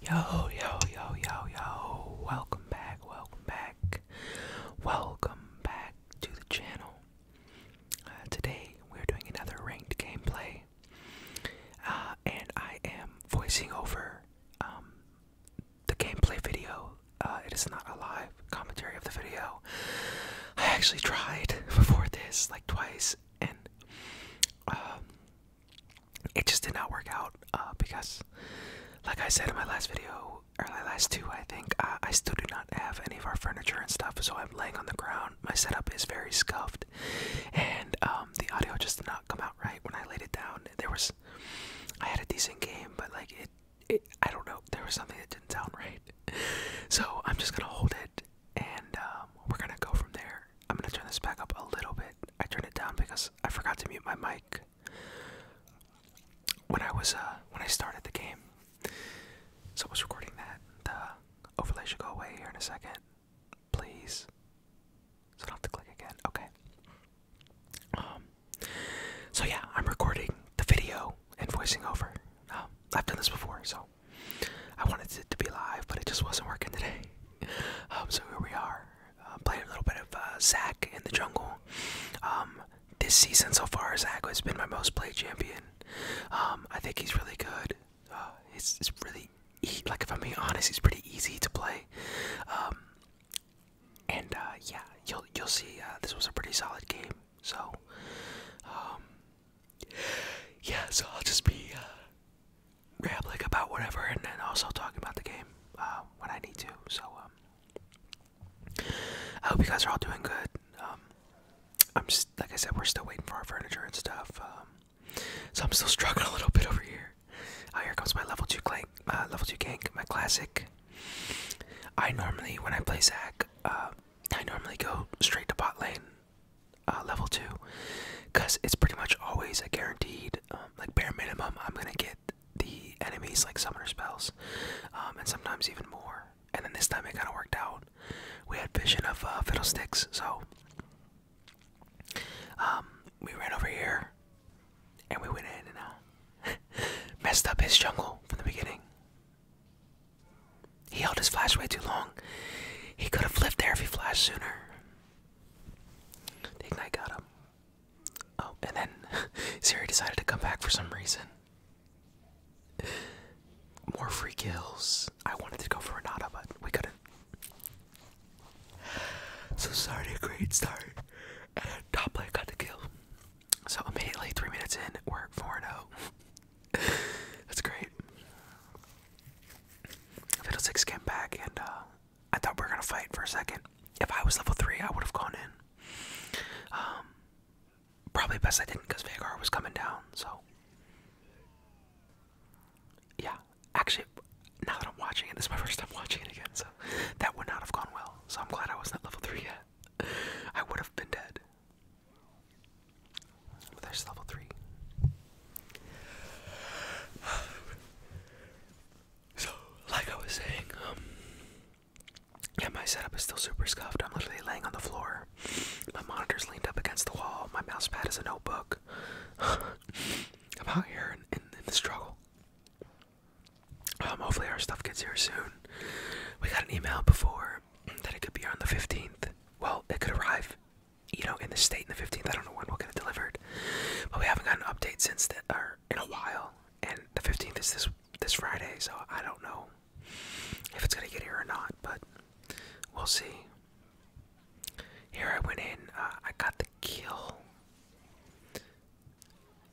Yo, yo, yo, yo, yo. Welcome back, welcome back. Welcome back to the channel. Uh, today we're doing another ranked gameplay. Uh, and I am voicing over um, the gameplay video. Uh, it is not a live commentary of the video. I actually tried before this like twice, and um, it just did not work out uh, because, like I said in my last video, or my last two, I think, I still do not have any of our furniture and stuff, so I'm laying on the ground. My setup is very scuffed, and um, the audio just did not come out right when I laid it down. There was, I had a decent game, but like it, I don't know, there was something that didn't sound right. So I'm just gonna hold it, and um, we're gonna go from there. I'm gonna turn this back up a little bit. I turned it down because I forgot to mute my mic when I was uh when I started the game. So I was recording that. The overlay should go away here in a second. Please. So I don't have to click again. Okay. Um so yeah, I'm recording the video and voicing over. Um, I've done this before, so I wanted it to be live, but it just wasn't working today. Um, so here we are, uh, playing a little bit of uh, Zach in the jungle. Um, this season so far, Zach has been my most played champion. Um, I think he's really good. Uh, really, like if I'm being honest, he's pretty easy to play. and uh, yeah, you'll you'll see. Uh, this was a pretty solid game. So, yeah, so I'll just be uh, rambling about whatever and then also talking about the game um, when I need to. So um, I hope you guys are all doing good. Um, I'm just, like I said, we're still waiting for our furniture and stuff. so I'm still struggling a little bit over here. Uh, here comes my level two clank, uh, level two gank, my classic. I normally, when I play Zac, uh, I normally go straight to bot lane. Uh, level two, because it's pretty much always a guaranteed, um, like bare minimum, I'm gonna get the enemies like summoner spells, um, and sometimes even more. And then this time it kind of worked out. We had vision of uh, fiddlesticks, so um, we ran over here, and we went in and uh, messed up his jungle from the beginning. He held his flash way too long. He could have lived there if he flashed sooner. The Ignite got him. Oh, and then Siri decided to come back for some reason. More free kills. I wanted to go for a Renata, but we couldn't. So started a great start. And top player got the kill. So immediately, three minutes in, we're 4 0. That's great. Fiddlesticks came back, and uh, I thought we were gonna fight for a second. If I was level three, I would have gone in. Um, probably best I didn't, because Vagar was coming down. So, yeah. Actually, now that I'm watching it, this is my first time watching it again. So, that would not have gone well. So I'm glad I was not level three yet. I would have been dead. There's level three. So, like I was saying, um, yeah, my setup is still super scuffed. I'm literally laying on the floor. My monitor's leaned up against the wall. My mouse pad is a notebook. I'm out here in, the struggle. Um, hopefully, our stuff gets here soon. We got an email before that it could be on the 15th. Well, it could arrive, you know, in the state in the 15th. I don't know when we'll get it delivered, but we haven't gotten an update since that, or in a while. And the 15th is this this Friday, so I don't know if it's gonna get here or not, but we'll see. Here I went in. Uh, I got the kill,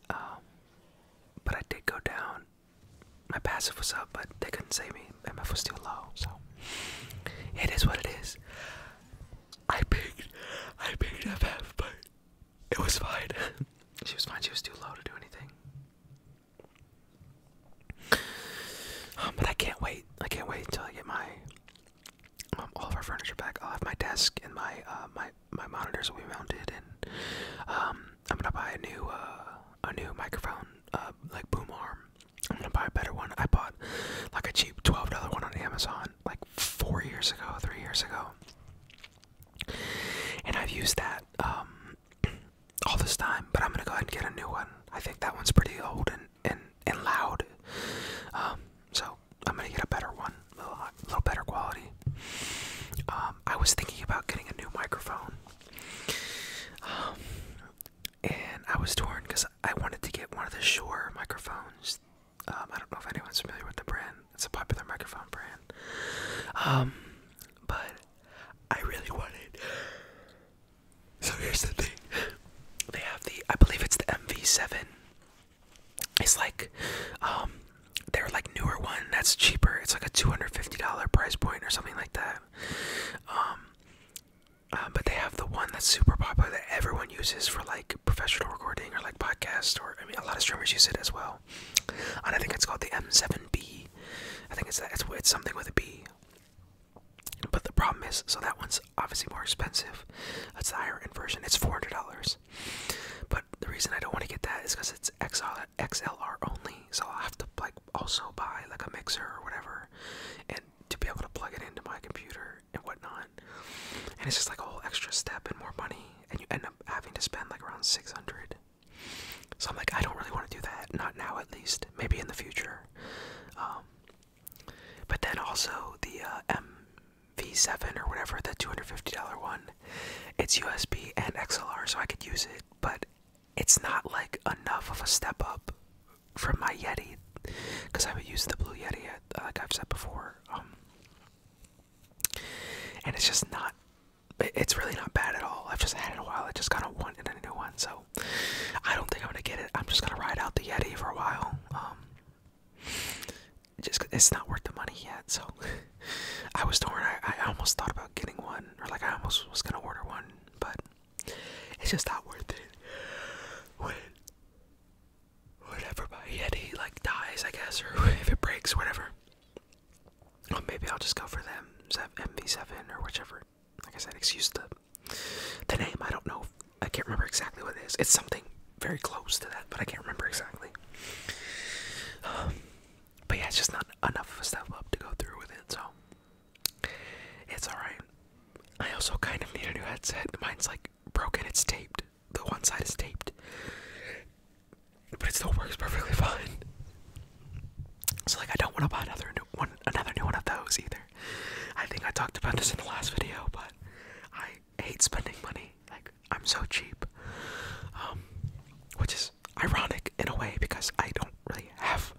um, but I did go down my passive was up, but they couldn't save me. MF was still low, so it is what it is. I picked, I picked FF, but it was fine. she was fine. She was too low to do anything. Um, but I can't wait. I can't wait until I get my um, all of our furniture back. I'll have my desk and my uh, my my monitors will be mounted, and um, I'm gonna buy a new uh, a new microphone uh, like boom arm. I'm gonna buy a better one. I bought like a cheap twelve dollar one on Amazon like four years ago, three years ago, and I've used that um, all this time. But I'm gonna go ahead and get a new one. I think that one's pretty old and and and loud. Um, so I'm gonna get a better one, a little, better quality. Um, I was thinking about getting a new microphone. Um, and I was torn because I wanted to get one of the Shure microphones. Um, I don't know if anyone's familiar with the brand. It's a popular microphone brand. Um, but I really wanted. So here's the thing. They have the, I believe it's the MV7. It's like, they're like newer one that's cheaper. It's like a $250 price point or something like that. Um, uh, but they have the one that's super popular that everyone uses for like professional recording or like podcast or I mean a lot of streamers use it as well. And I think it's called the M7B. I think it's that it's, it's something with a B. But the problem is, so that one's obviously more expensive. That's the higher end version. It's four hundred dollars. But the reason I don't want to get that is because it's XLR XLR only, so i have to like also buy like a mixer or whatever, and to be able to plug it into my computer and whatnot. And it's just like a whole extra step and more money, and you end up having to spend like around six hundred. So I'm like, I don't really want to do that, not now at least. Maybe in the future. Um, but then also the uh, MV7 or whatever, the $250 one, it's USB and XLR, so I could use it, but it's not like enough of a step up from my Yeti because I haven't used the Blue Yeti uh, like I've said before. Um, and it's just not, it's really not bad at all. I've just had it a while. I just kind of wanted a new one, so I don't think I'm gonna get it. I'm just gonna ride out the Yeti for a while. Um, just it's not worth the money yet. So I was torn. I, I almost thought about getting one or like I almost was gonna order one, but it's just not worth it. When whatever my like dies, I guess, or if it breaks, whatever. Or maybe I'll just go for them MV7 or whichever. Like I said, excuse the the name. I don't know. I can't remember exactly what it is. It's something very close to that, but I can't remember exactly. Um, but yeah, it's just not enough stuff up to go through with it, so it's alright. I also kind of need a new headset. Mine's like broken, it's taped. The one side is taped. But it still works perfectly fine. So like I don't want to buy another new one another new one of those either. I think I talked about this in the last video, but I hate spending money. Like I'm so cheap. Um which is ironic in a way because I don't really have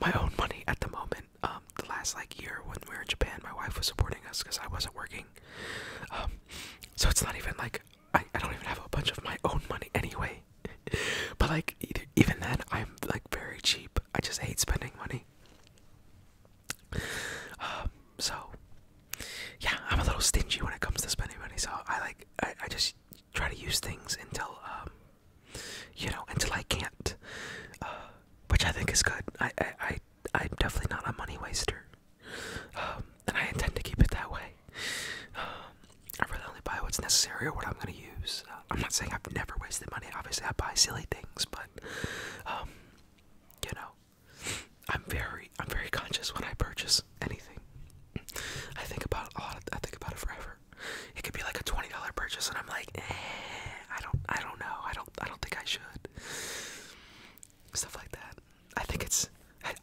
my own money at the moment. Um, the last like year when we were in Japan, my wife was supporting us because I wasn't working. Um, so it's not even like I, I don't even have a bunch of my own money anyway. but like even then, I'm like very cheap. I just hate spending money. Um, so yeah, I'm a little stingy when it comes to spending money. So I like I, I just try to use things until um, you know until I can't, uh, which I think is good. I I, I am definitely not a money waster, um, and I intend to keep it that way. Um, I really buy what's necessary or what I'm gonna use. Uh, I'm not saying I've never wasted money. Obviously, I buy silly things, but you know, I'm very I'm very conscious when I purchase anything. I think about it a lot. I think about it forever. It could be like a twenty dollar purchase, and I'm like, eh, I don't, I don't know. I don't, I don't think I should. Stuff like that. I think it's.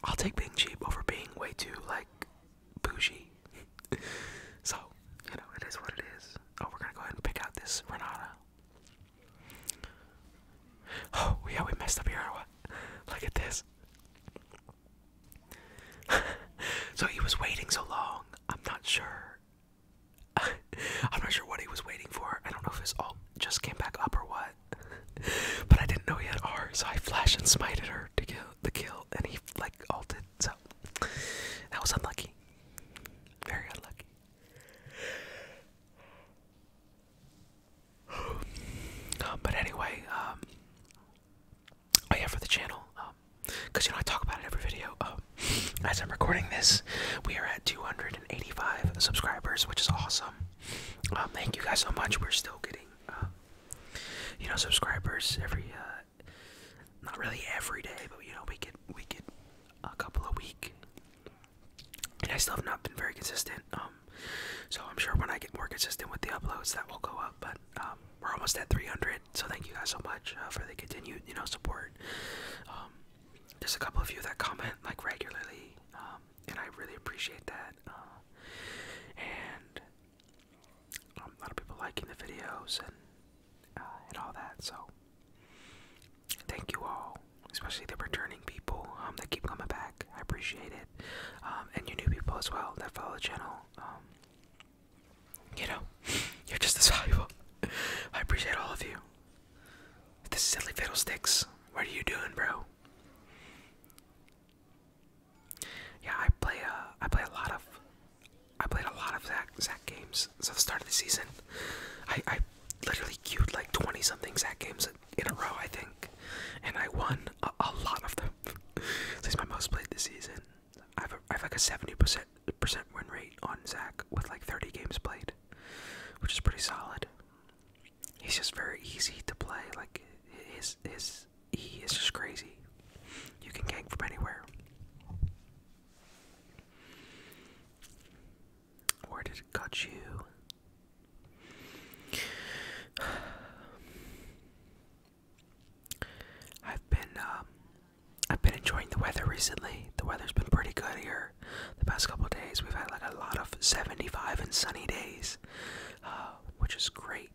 I'll take being cheap over being way too like bougie. so you know, it is what it is. Oh, we're gonna go ahead and pick out this Renata. Oh yeah, we messed up here. Look at this. so he was waiting so long. I'm not sure. I'm not sure what he was waiting for. I don't know if his alt just came back up or what. but I didn't know he had ours. so I flash and smited her to kill the kill, and he like alted. So that was unlucky. Very unlucky. Um, but anyway, um, oh yeah, for the channel, um, cause you know I talk about it every video. as I'm recording this, we are at 285 subscribers, which is awesome. thank you guys so much. We're still getting, you know, subscribers every, uh, not really every day, but you know, we get we get a couple a week, and I still have not been very consistent. So I'm sure when I get more consistent with the uploads, that will go up. But um, we're almost at 300, so thank you guys so much uh, for the continued, you know, support. Um, there's a couple of you that comment like regularly, um, and I really appreciate that. Uh, and a lot of people liking the videos and uh, and all that. So thank you all, especially the returning people um, that keep coming back. I appreciate it. Um, and you new people as well that follow the channel. Um, you know, you're just as valuable. I appreciate all of you. The silly fiddlesticks. What are you doing, bro? Yeah, I play. Uh, play a lot of. I played a lot of Zach Zach games since the start of the season. I I literally queued like twenty something Zach games in a row, I think, and I won a, lot of them. so he's my most played this season. I have, a, I have like a 70% percent win rate on Zach with like 30 games played, which is pretty solid. He's just very easy to play. Like his his he is just crazy. You can gang from anywhere. Where did it cut you? I've been um, I've been enjoying the weather recently. The weather's been pretty good here the past couple days. We've had like a lot of 75 and sunny days, uh, which is great.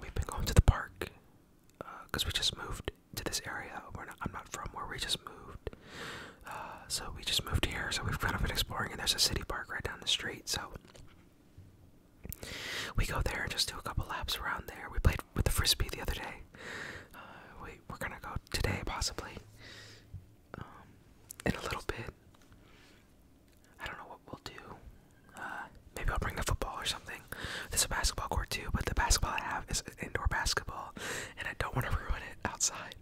We've been going to the park because uh, we just moved to this area. we I'm not from where we just moved. Uh, so we just moved here, so we've kind of been exploring, and there's a city park right down the street, so we go there and just do a couple laps around there. We played with the frisbee the other day. Uh, we, are gonna go today, possibly, um, in a little bit. I don't know what we'll do. Uh, maybe I'll bring a football or something. There's a basketball court too, but the basketball I have is indoor basketball, and I don't want to ruin it outside.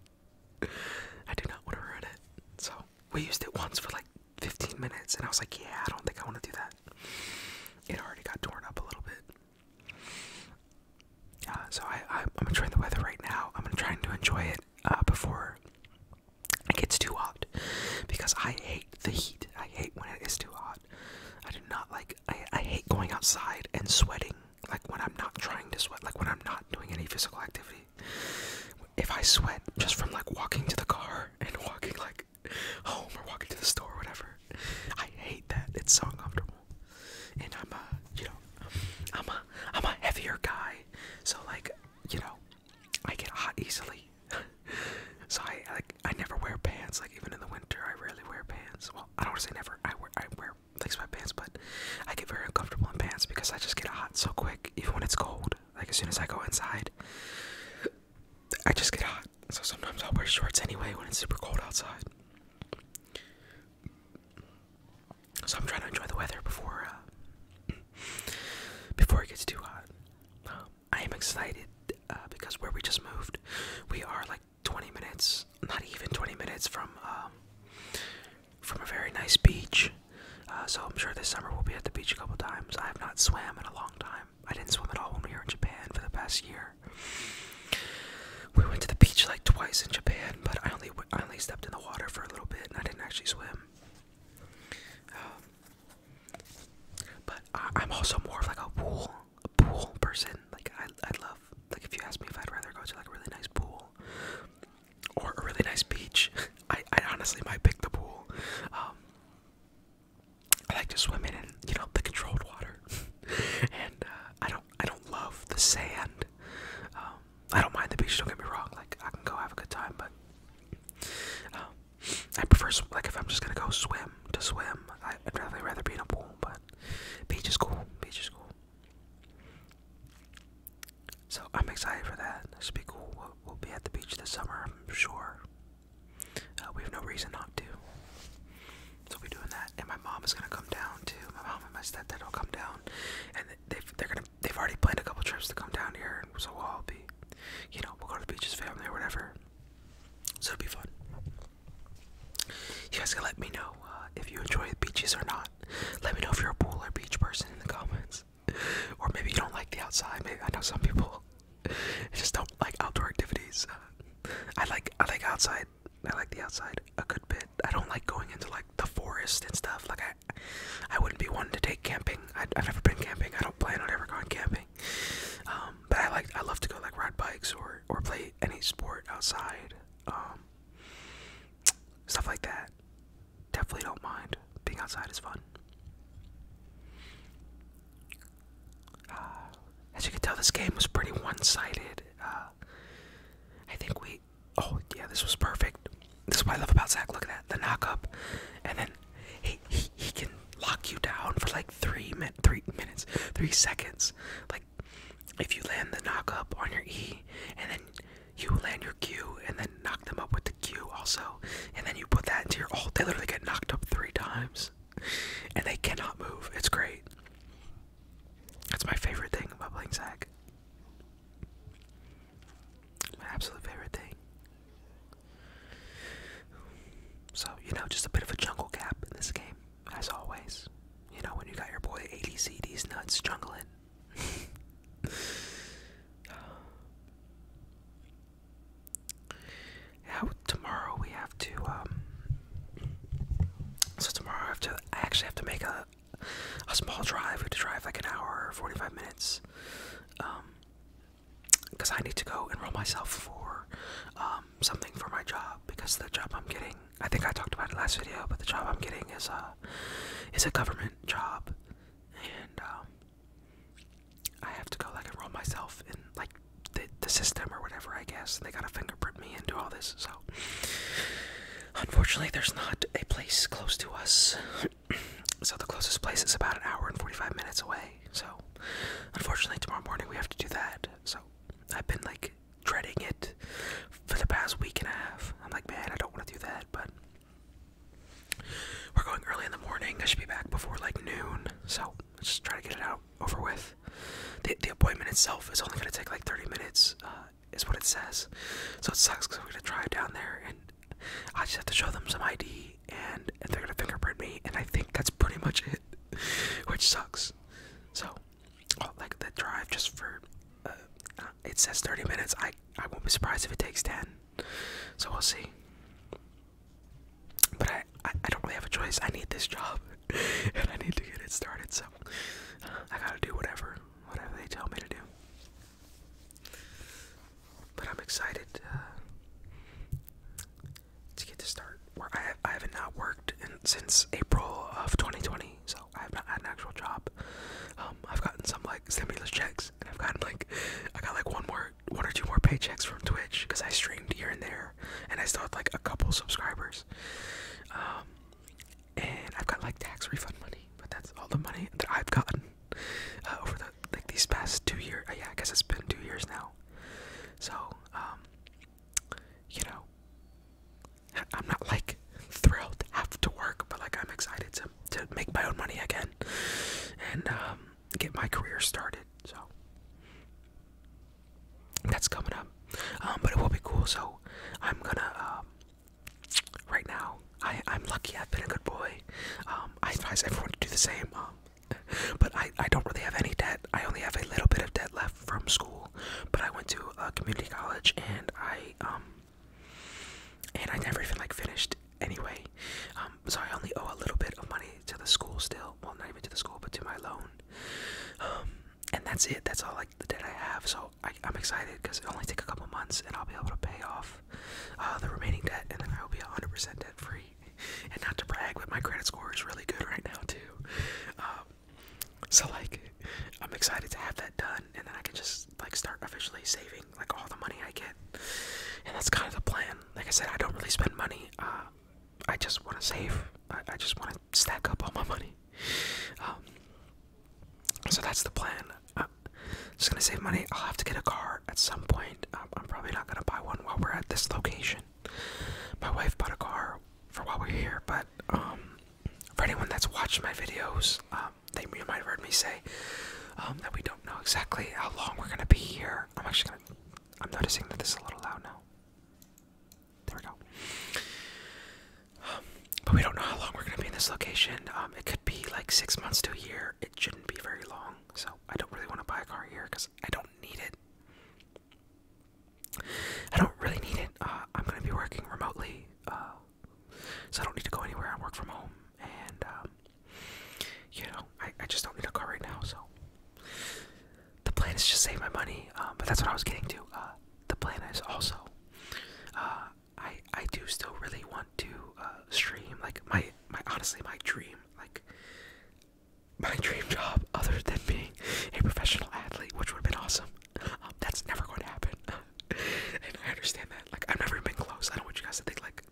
I do not want to ruin it, so we used it once for like 15 minutes, and I was like, yeah, I don't think I want to do that. It already got torn up a little bit. Uh, so I, I, I'm enjoying the weather right now. I'm trying to enjoy it uh, before it gets too hot, because I hate the heat. I hate when it is too hot. I do not like. I, I hate going outside and sweating. Like when I'm not trying to sweat. Like when I'm not doing any physical activity if I sweat just from like walking to the car and walking like home or walking to the store or whatever, I hate that. It's so uncomfortable. And I'm a, you know, I'm a, I'm a heavier guy, so like, you know, I get hot easily. so I like, I never wear pants. Like even in the winter, I rarely wear pants. Well, I don't say never. I wear, I wear or fix but I get very uncomfortable in pants because I just get hot so quick, even when it's cold. Like as soon as I go inside, I just get hot. So sometimes I'll wear shorts anyway when it's super cold outside. So I'm trying to enjoy the weather before uh, before it gets too hot. Um, I am excited uh, because where we just moved, we are like 20 minutes, not even 20 minutes from um, from a very nice beach. Uh, so I'm sure this summer we'll be at the beach a couple times. I have not swam in a long time. I didn't swim at all when we were in Japan for the past year. We went to the beach like twice in Japan, but I only I only stepped in the water for a little bit and I didn't actually swim. Um, but I, I'm also more of like a pool a pool person. Like I I love like if you ask me if I'd rather go to like a really nice pool or a really nice beach. I, honestly might pick the pool. Um, I like to swim in, you know, the controlled water, and uh, I don't I don't love the sand. Um, I don't mind the beach. Don't get me wrong. Like I can go have a good time, but um, I prefer like if I'm just gonna go swim to swim. I, I'd rather rather be in a pool, but beach is cool. Beach is cool. So I'm excited for that. This will be cool. We'll, we'll be at the beach this summer, I'm sure. Uh, we have no reason not to. So we'll be doing that, and my mom is gonna come down too. My mom and my stepdad will come down, and they've they're gonna they've already planned a couple trips to come down here, so we'll all be, you know, we'll go to the beaches, family, or whatever. So it'll be fun. You guys can let me know uh, if you enjoy the beaches or not. Let me know if you're a pool or beach person in the comments. Or maybe you don't like the outside. Maybe I know some people just don't like outdoor activities. Uh, I like I like outside. I like the outside a good bit. I don't like going into like the forest and stuff. Like I, I wouldn't be one to take camping. I, have never been camping. I don't plan on ever going camping. Um, but I like I love to go like ride bikes or or play any sport outside. Um, stuff like that. Definitely don't mind. Being outside is fun. Uh, as you can tell, this game was pretty one-sided. Uh, I think we. Oh yeah, this was perfect. This is what I love about Zach. Look at that, the knock up, and then he he, can lock you down for like three min three minutes, three seconds if you land the knock up on your E and then you land your Q and then knock them up with the Q also, and then you put that into your ult, they literally get knocked up three times and they cannot move. It's great. That's my favorite thing about playing Zac. absolute favorite thing. So, you know, just a bit of a jungle gap in this game as always, you know, when you got your boy ADCD's nuts jungling. yeah, tomorrow we have to, um, so tomorrow I have to, I actually have to make a, a small drive. We have to drive like an hour, 45 minutes, um, because I need to go enroll myself for um, something for my job because the job I'm getting I think I talked about it last video, but the job I'm getting is a is a government job, and um, I have to go like enroll myself in like the the system or whatever. I guess and they gotta fingerprint me and do all this. So unfortunately, there's not a place close to us. so the closest place is about an hour and 45 minutes away. So unfortunately, tomorrow morning we have to do that. So I've been like dreading it for the past week and a half. I'm like, man, I don't want to do that, but we're going early in the morning. I should be back before like noon, so let's just try to get it out over with. The, the appointment itself is only going to take like 30 minutes, uh, is what it says. So it sucks because I'm going to drive down there and I just have to show them some ID and, and they're going to fingerprint me, and I think that's pretty much it, which sucks. So like the drive just for uh, uh, it says 30 minutes. I I won't be surprised if it takes 10. So we'll see. But I I, don't really have a choice. I need this job and I need to get it started. So I gotta do whatever whatever they tell me to do. But I'm excited uh, to get to start. Where I I haven't not worked since April of 2020 so I have not had an actual job. Um, I've gotten some like stimulus checks, and I've gotten like I got like one more, one or two more paychecks from Twitch because I streamed here and there, and I still had like a couple subscribers. Um, and I've got like tax refund money, but that's all the money that I've gotten uh, over the like these past two years. Uh, yeah, I guess it's been two years now. So, um, you know, I'm not like thrilled to have to work, but like I'm excited to to make my own money again and um, get my career started. So that's coming up, um, but it will be cool. So I'm gonna um, right now. I I'm lucky. I've been a good boy. I advise everyone to do the same. but I I don't really have any debt. I only have a little bit of debt left from school, but I went to a community college and I um and I never even like finished anyway. Um, so I only owe a little bit of money to the school still. Well, not even to the school, but to my loan. Um, and that's it. That's all like the debt I have. So I, I'm excited because it only take a couple months and I'll be able to pay off uh, the remaining debt, and then I will be 100% debt free. And not to brag, but my credit score is really good right now too. Um, so like, I'm excited to have that done, and then I can just like start officially saving like all the money I get, and that's kind of the plan. Like I said, I don't really spend money. Uh, I just want to save. I, just want to stack up all my money. Um, so that's the plan. I'm just gonna save money. I'll have to get a car at some point. I'm probably not gonna buy one while we're at this location. My wife bought a car for while we're here, but um, for anyone that's watched my videos, um, they might have heard me say um, that we don't know exactly how long we're gonna be here. I'm actually gonna. I'm noticing that this is a little loud now. There we go. Um, but we don't know how long we're gonna be in this location. Um, it could be like six months to a year. It shouldn't be very long. So I don't really want to buy a car here because I don't need it. I don't really need it. Uh, I'm gonna be working remotely, uh, so I don't need to go anywhere. I work from home, and um, you know, I, I just don't need a car right now. So the plan is just save my money. Um, but that's what I was getting to. Uh, the plan is also, I I do still really want to stream. Like my my honestly my dream. Like my dream job other than being a professional athlete, which would have been awesome. Um, that's never going to happen. and I understand that. Like, I've never been close. I don't want you guys to think, like,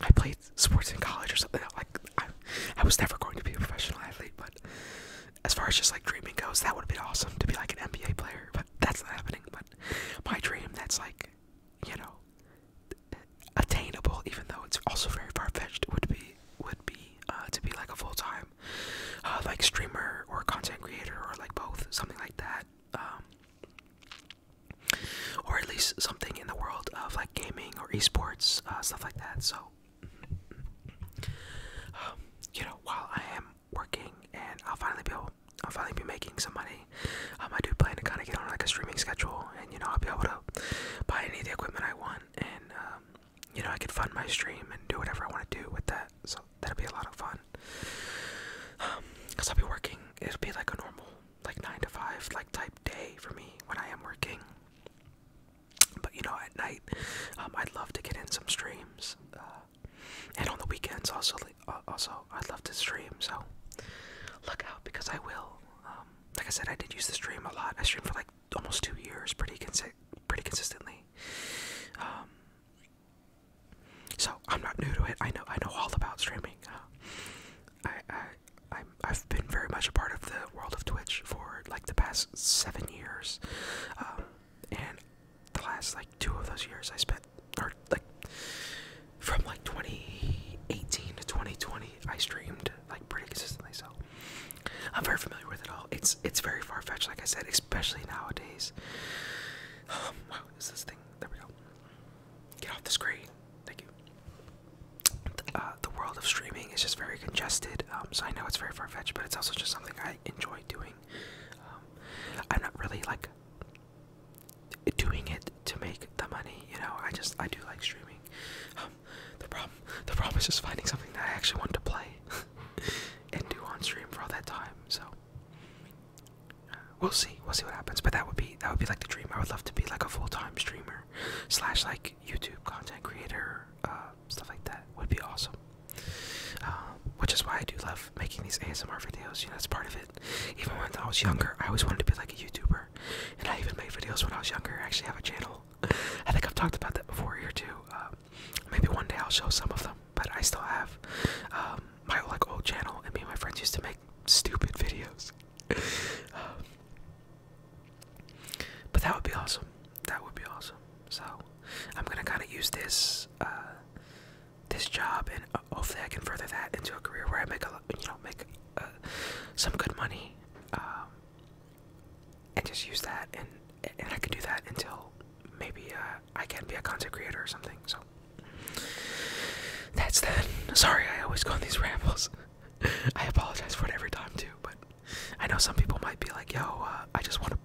I played sports in college or something. Like, I, was never going to be a professional athlete, but as far as just like dreaming goes, that would have been awesome to be like an NBA player, but that's not happening. But my dream that's like, you know, attainable, even though it's also very far fetched, would be would be uh, to be like a full time uh, like streamer or content creator or like both something like that um, or at least something in the world of like gaming or esports uh, stuff like that so um, you know while I am working and I'll finally be able, I'll finally be making some money um, I do plan to kind of get on like a streaming schedule and you know I'll be able to buy any of the equipment I want and you know, I could fund my stream and do whatever I want to do with that. So that'll be a lot of fun. Um, Cause I'll be working. It'll be like a normal, like nine to five, like type day for me when I am working. But you know, at night, um, I'd love to get in some streams, uh, and on the weekends also. Uh, also, I'd love to stream. So look out because I will. Um, like I said, I did use the stream a lot. I stream for like almost two years, pretty consi pretty consistently. Um, so I'm not new to it. I know I know all about streaming. Uh, I I i have been very much a part of the world of Twitch for like the past seven years, um, and the last like two of those years I spent, or like from like 2018 to 2020, I streamed like pretty consistently. So I'm very familiar with it all. It's it's very far fetched, like I said, especially nowadays. Um, wow, is this thing? There we go. Get off the screen. Thank you. Uh, the, world of streaming is just very congested. Um, so I know it's very far fetched, but it's also just something I enjoy doing. Um, I'm not really like doing it to make the money. You know, I just I do like streaming. The problem, the problem is just finding something that I actually want to play and do on stream for all that time. So we'll see, we'll see what happens. But that would be that would be like the dream. I would love to be like a full-time streamer slash like YouTube content creator, uh, stuff like that. Would be awesome. Um, which is why I do love making these ASMR videos. You know, that's part of it. Even when I was younger, I always wanted to be like a YouTuber, and I even made videos when I was younger. I actually have a channel I think I've talked about that before here too. Um, maybe one day I'll show some of them, but I still have um, my like old channel, and me and my friends used to make stupid videos. Um, but that would be awesome. That would be awesome. So I'm gonna kind of use this uh, this job, and uh, hopefully I can further that into a career where I make a you know make uh, some good money. Um, and just use that and and I can do that until maybe uh, I can be a content creator or something. So that's that. Sorry, I always go on these rambles. I apologize for it every time too, but I know some people might be like, "Yo, uh, I just want to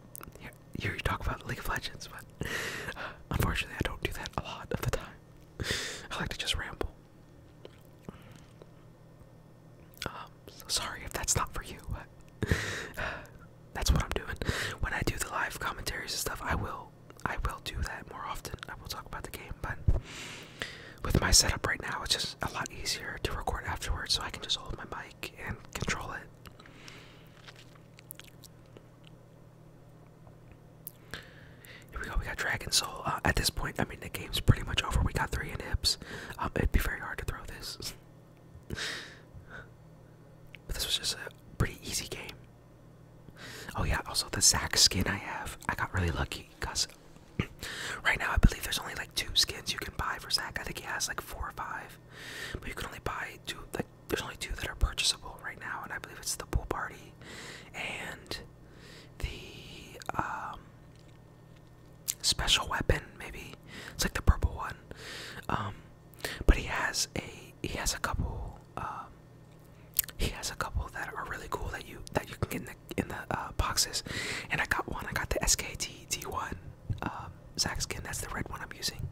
hear you talk about League of Legends," but uh, unfortunately, I don't do that a lot of the time. I like to just ramble. I'm Um, sorry if that's not for you, but that's what I'm doing. When I do the live commentaries and stuff, I will I will do that more often. I will talk about the game, but with my setup right now, it's just a lot easier to record afterwards, so I can just hold my mic and control it. Here we go. We got Dragon Soul. Uh, at this point, I mean, the game's pretty much over. We got three inhibs. Um, it'd be very hard to throw this. but this was just a pretty easy game. Oh yeah. Also, the Zack skin I have, I got really lucky because right now I believe there's only like two skins you can buy for Zack. I think he has like four or five, but you can only buy two. Like, there's only two that are purchasable right now, and I believe it's the pool party and the um special weapon, maybe it's like the purple one. Um, but he has a he has a couple um, he has a couple that are really cool that you that you can get in the in the uh, boxes. And I got one. I got the SKT one um, Zack skin. That's the red one I'm using.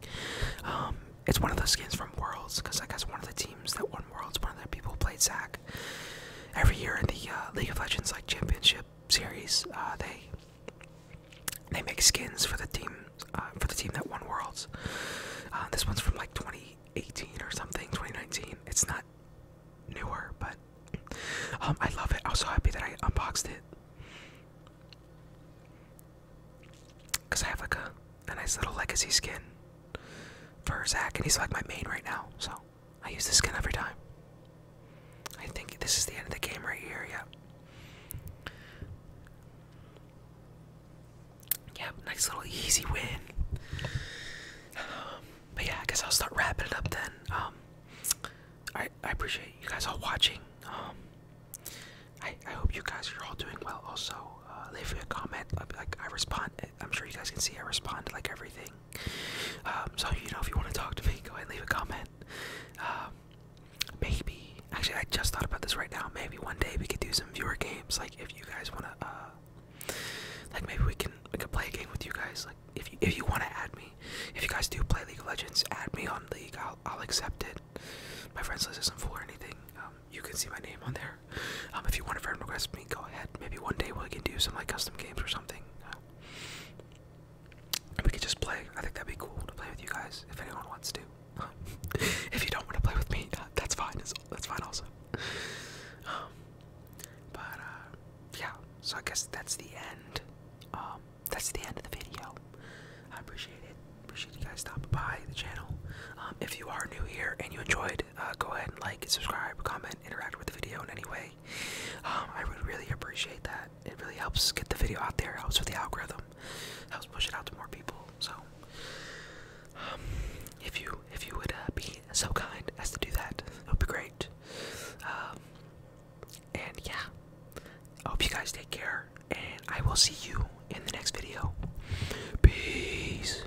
Um, it's one of those skins from Worlds because I guess one of the teams that won worlds, one of the people who played Zack. Every year in the uh, League of Legends like championship series, uh, they they make skins for the team uh, for the team that won worlds. this one's from like 2018 or something, 2019. It's not newer, but um, I love it. I was so happy that I unboxed it because I have like a, nice little legacy skin for Zach, and he's like my main right now. So I use this skin every time. I think this is the end of the game right here, Yeah. yeah, nice little easy win. but yeah, I guess I'll start wrapping it up then. Um, I, I appreciate you guys all watching. Um, I, I hope you guys are all doing well also. Uh, leave me a comment, like I respond, I'm sure you guys can see I respond to like everything. Um, so you know, if you want to talk to me, go ahead leave a comment. Um, maybe actually, I just thought about this right now. Maybe one day we could do some viewer games. Like if you guys want to, uh, like maybe we can we could play a game with you guys. Like if you if you want to add me, if you guys do play League of Legends, add me on League. I'll I'll accept it. My friends list isn't full or anything. Um, you can see my name on there. Um, if you want to friend request me, go ahead. Maybe one day we can do some like custom games or something. Uh, we could just play. I think that'd be cool to play with you guys if anyone wants to. if you don't want to play with me, uh, that's fine. It's, that's fine also. Um, but uh, yeah, so I guess that's the end. Um, that's the end of the video. I appreciate it. Appreciate you guys stopping by the channel. if you are new here and you enjoyed uh, go ahead and like, subscribe, comment, interact with the video in any way. Um, I would really appreciate that. It really helps get the video out there, helps with the algorithm, helps push it out to more people. So, um, if you if you would uh, be so kind as to do that, it would be great. Um, and yeah, I hope you guys take care, and I will see you in the next video. Peace.